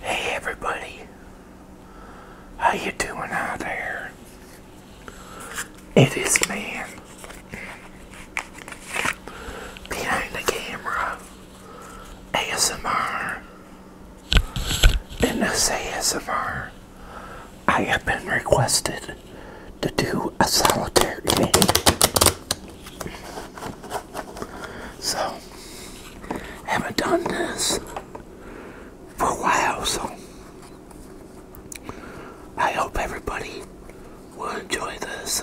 Hey everybody, how you doing out there? It is man behind the camera ASMR. In this ASMR, I have been requested to do a solitaire game. So, haven't done this for a while, so I hope everybody will enjoy this.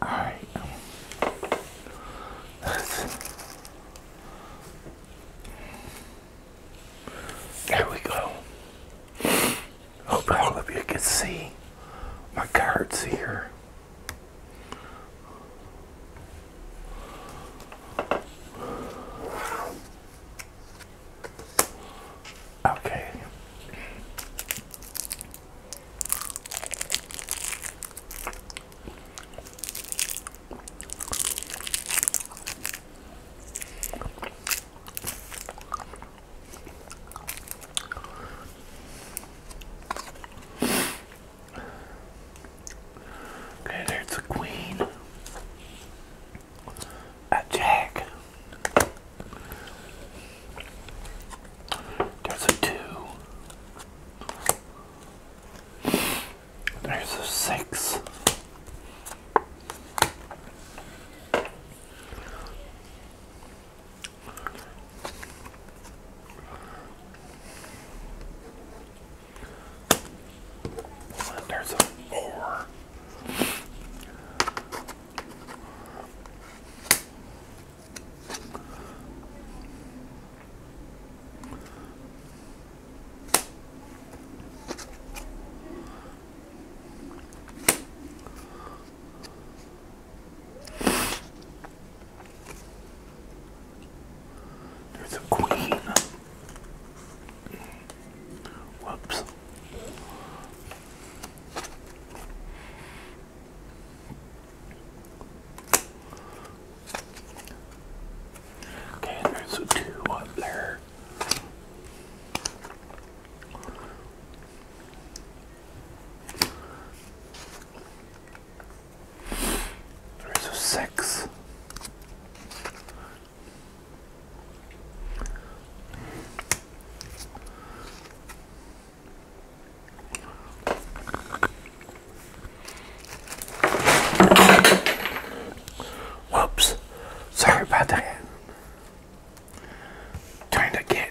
All right. Let's. There we go. Hope all of you can see my cards here. Okay. Okay, there's a queen. A jack. There's a two. There's a six. There's a four. There's a queen. Whoops. Okay, there's a two up there. There's a six. Whoops. Sorry about that. Trying to get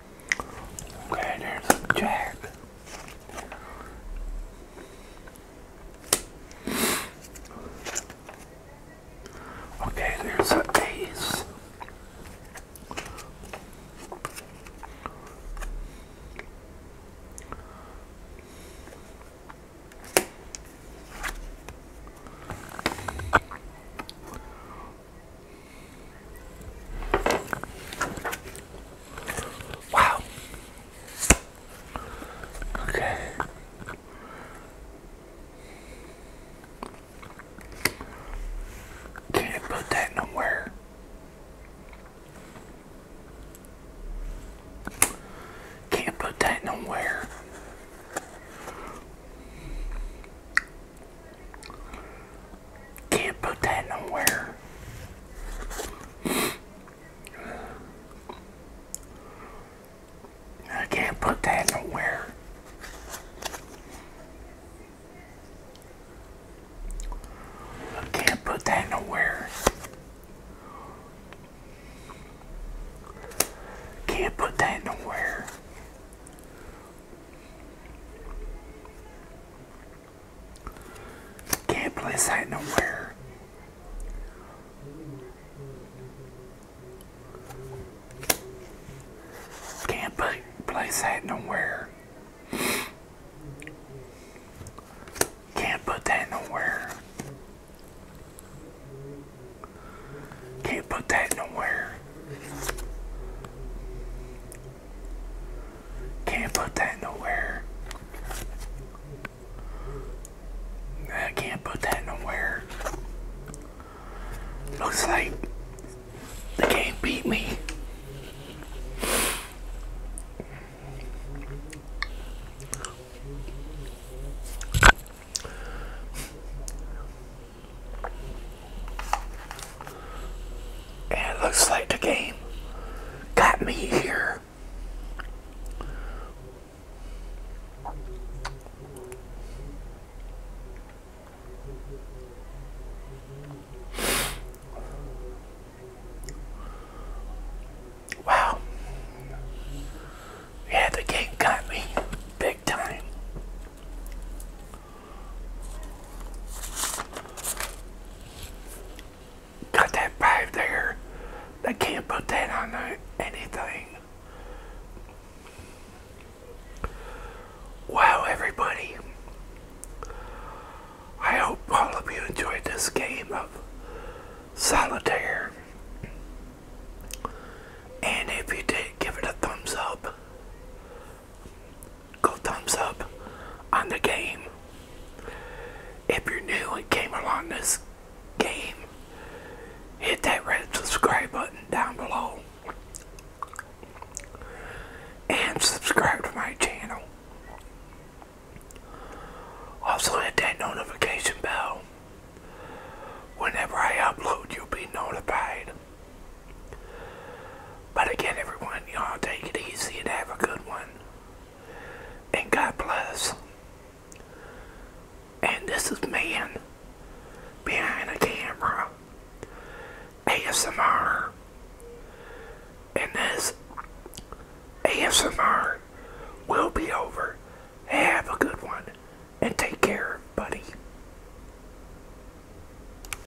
Okay, there's a jack. Okay, there's a ace. Wow. Okay. Can't put that nowhere. Can't put that nowhere. Can't put that nowhere. I can't put that nowhere. I can't put that nowhere. Can't put that nowhere. Can't place that nowhere. Can't place that nowhere. Can't put that nowhere. Can't put that nowhere. Can't put that nowhere. I can't put that nowhere. Looks like they can't beat me. And it looks like the game got me here. Wow. Yeah, the game got me big time. Got that five there. I can't put that on anything. Wow, everybody. I hope all of you enjoyed this game of solitaire. And if you did, give it a thumbs up go thumbs up on the game. If you're new and came along this game, hit that red subscribe button down below and subscribe to my channel. Also hit that notification bell. Whenever I upload, you'll be notified. But again, everyone, y'all take it easy and have a good one. And God bless. And this is man behind a camera. ASMR. And this ASMR will be over. Have a good one and take care, buddy.